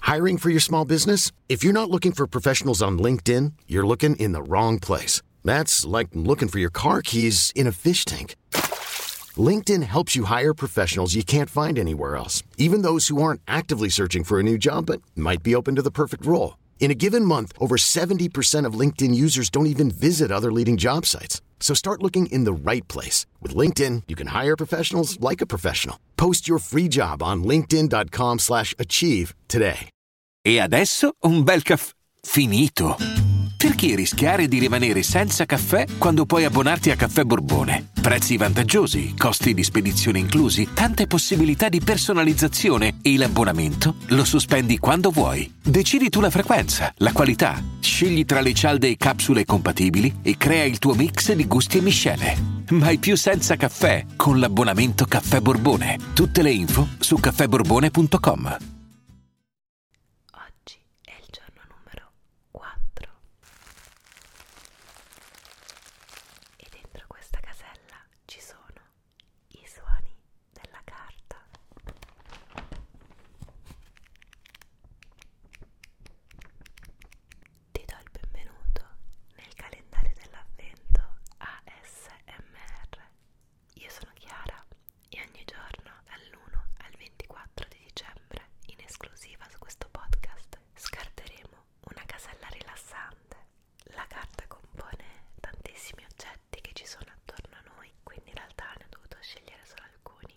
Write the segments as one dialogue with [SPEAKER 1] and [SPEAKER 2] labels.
[SPEAKER 1] Hiring for your small business? If you're not looking for professionals on LinkedIn, you're looking in the wrong place. That's like looking for your car keys in a fish tank. LinkedIn helps you hire professionals you can't find anywhere else, even those who aren't actively searching for a new job but might be open to the perfect role. In a given month, over 70% of LinkedIn users don't even visit other leading job sites. So start looking in the right place. With LinkedIn, you can hire professionals like a professional. Post your free job on linkedin.com slash achieve today. E adesso un bel caffè finito. Perché rischiare di rimanere senza caffè quando puoi abbonarti a Caffè Borbone? Prezzi vantaggiosi, costi di spedizione inclusi, tante possibilità di personalizzazione e l'abbonamento lo sospendi quando vuoi. Decidi tu la frequenza, la qualità, scegli tra le cialde e capsule compatibili e crea il tuo mix di gusti e miscele. Mai più senza caffè con l'abbonamento Caffè Borbone. Tutte le info su caffèborbone.com. Oggi è il giorno numero 4. E dentro questa casella ci sono i suoni della carta. Ti do il benvenuto nel calendario dell'avvento ASMR. Io sono Chiara e ogni giorno dall'1 al 24 di dicembre, in esclusiva su questo podcast, scarteremo una casella rilassante. La carta compone tantissimi oggetti che ci sono attorno a noi, quindi in realtà ne ho dovuto scegliere solo alcuni.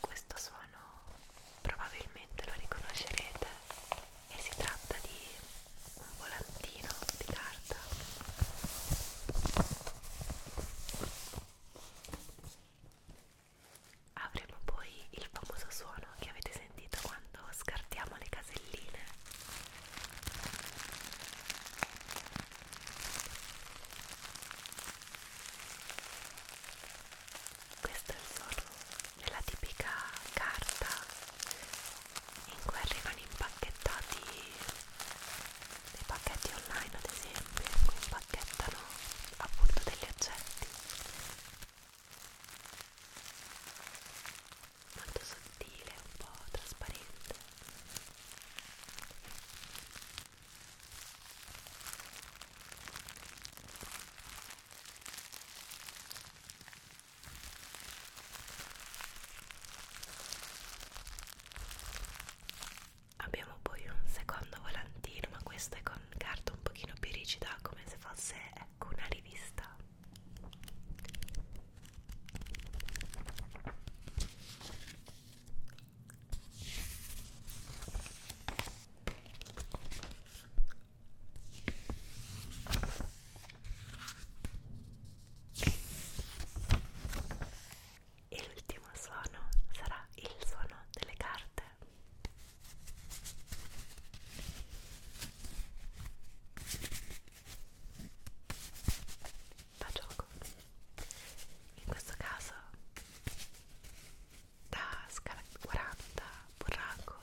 [SPEAKER 1] Questo suono probabilmente lo riconoscerete e si tratta di un volantino di carta. Avremo poi il famoso suono che avete sentito quando scartiamo le caselline. Questo è il forno della tipica carta in cui arrivano impacchettati dei pacchetti online, ad esempio, in cui impacchettano appunto degli oggetti molto sottile, un po' trasparente Abbiamo poi un secondo volantino, ma questo è con carta un pochino più rigida, come se fosse ecco una rivista. E l'ultimo suono sarà il suono delle carte. Da gioco. In questo caso da scala 40 burraco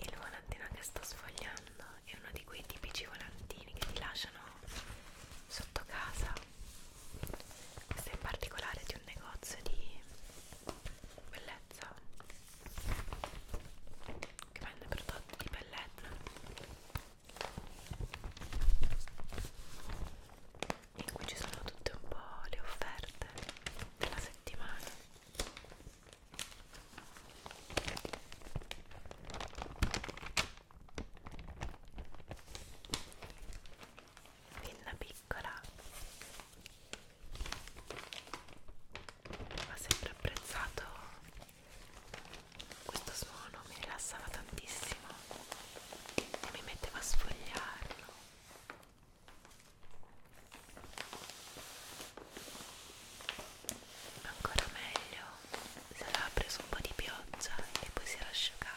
[SPEAKER 1] il volantino che sto sfogliando è uno di quei tipici volantini che ti lasciano sotto casa questa in particolare di un negozio di bellezza che vende prodotti di bellezza in cui ci sono tutte un po' le offerte della settimana Pinna Big piccola ho sempre apprezzato questo suono mi rilassava tantissimo e mi metteva a sfogliarlo ancora meglio se aveva preso un po' di pioggia e poi si era asciugato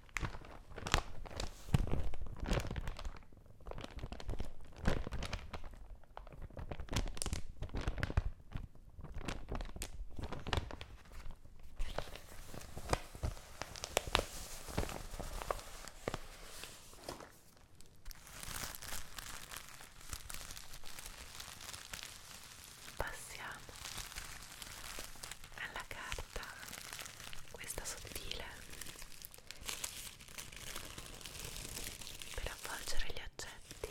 [SPEAKER 1] Passiamo alla carta questa sottile per avvolgere gli oggetti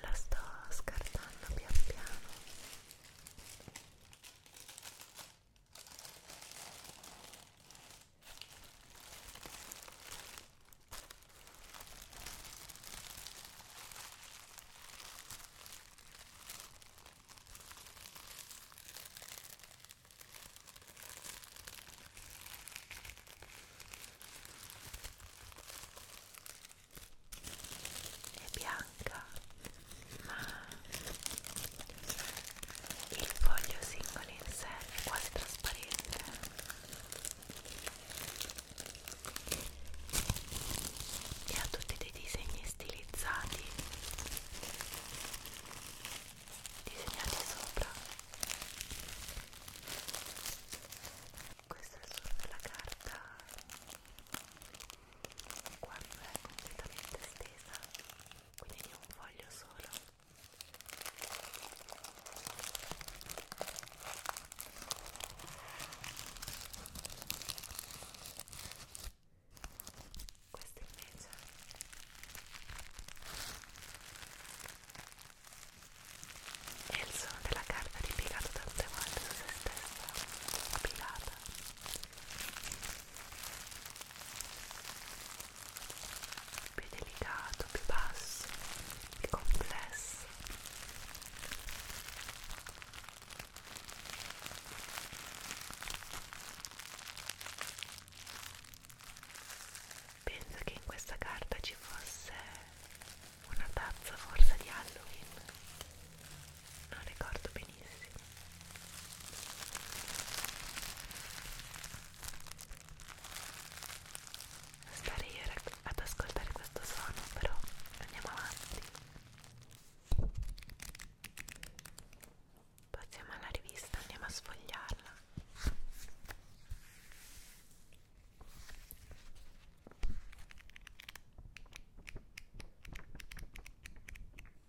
[SPEAKER 1] la sto scartando pian piano è bianca ma il foglio singolo in sé è quasi trasparente e ha tutti dei disegni stilizzati disegnati sopra questo è il suono della carta quando è eh, completamente stesa quindi di un foglio solo questo invece è il suono della carta ripiegata tante volte su se stessa, piegata più delicato, più basso, più complesso. Penso che in questa carta ci fosse una tazza forse di Halloween non ricordo benissimo stare io ad ascoltare questo suono però andiamo avanti passiamo alla rivista andiamo a sfogliarla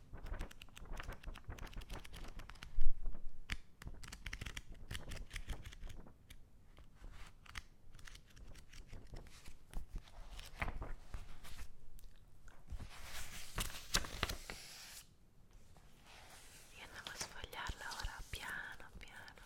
[SPEAKER 1] Io andavo a sfogliarla ora piano piano.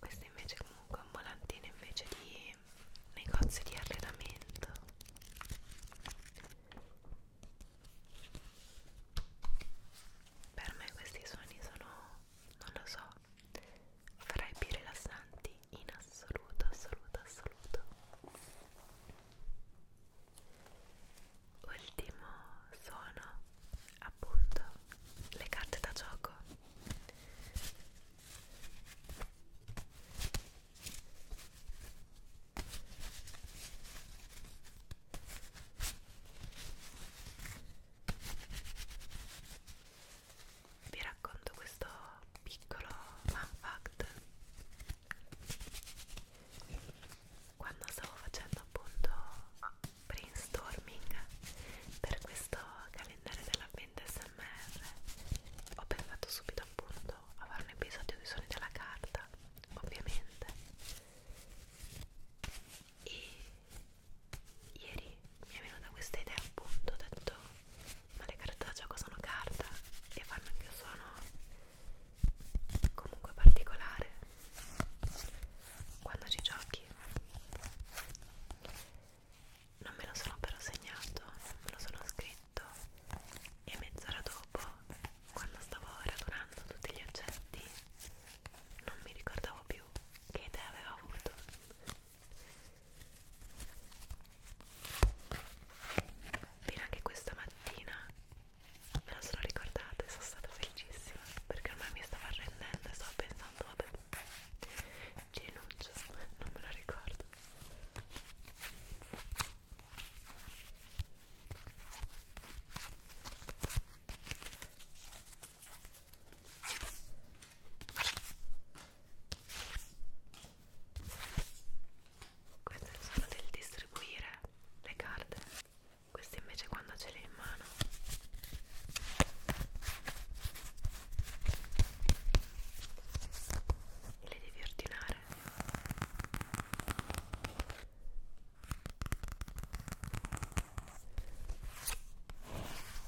[SPEAKER 1] Questo invece comunque è un volantino invece di negozio di allenamento. Per me questi suoni sono, non lo so, fra i più rilassanti in assoluto, assoluto, assoluto. Ultimo suono, appunto, le carte da gioco vi racconto questo piccolo fun fact quando stavo facendo appunto brainstorming per questo calendario dell'avvento smr ho pensato subito appunto a fare un episodio di suoni della carta ovviamente e ieri mi è venuta questa idea appunto, ho detto ma le carte da gioco sono carta e fanno anche un suono comunque particolare quando ci giochi non me lo sono però segnato, non me lo sono scritto e mezz'ora dopo quando stavo radunando tutti gli oggetti non mi ricordavo più che idea avevo avuto Fino anche questa mattina me la sono ricordata e sono stata felicissima perché ormai mi stavo arrendendo e stavo pensando vabbè ci rinuncio, non me lo ricordo questo è il suono del distribuire le carte, queste invece quando ce le in mano. Le devi ordinare.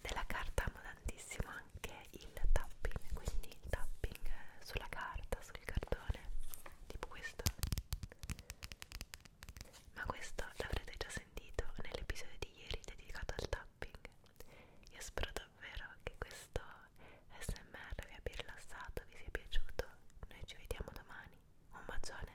[SPEAKER 1] Della carta amo tantissimo anche il tapping, quindi il tapping sulla carta, sul cartone, tipo questo. Ma questo l'avrete già sentito nell'episodio di ieri dedicato al tapping. Io spero davvero che questo smr vi abbia rilassato, vi sia piaciuto. Noi ci vediamo domani. Un bacione!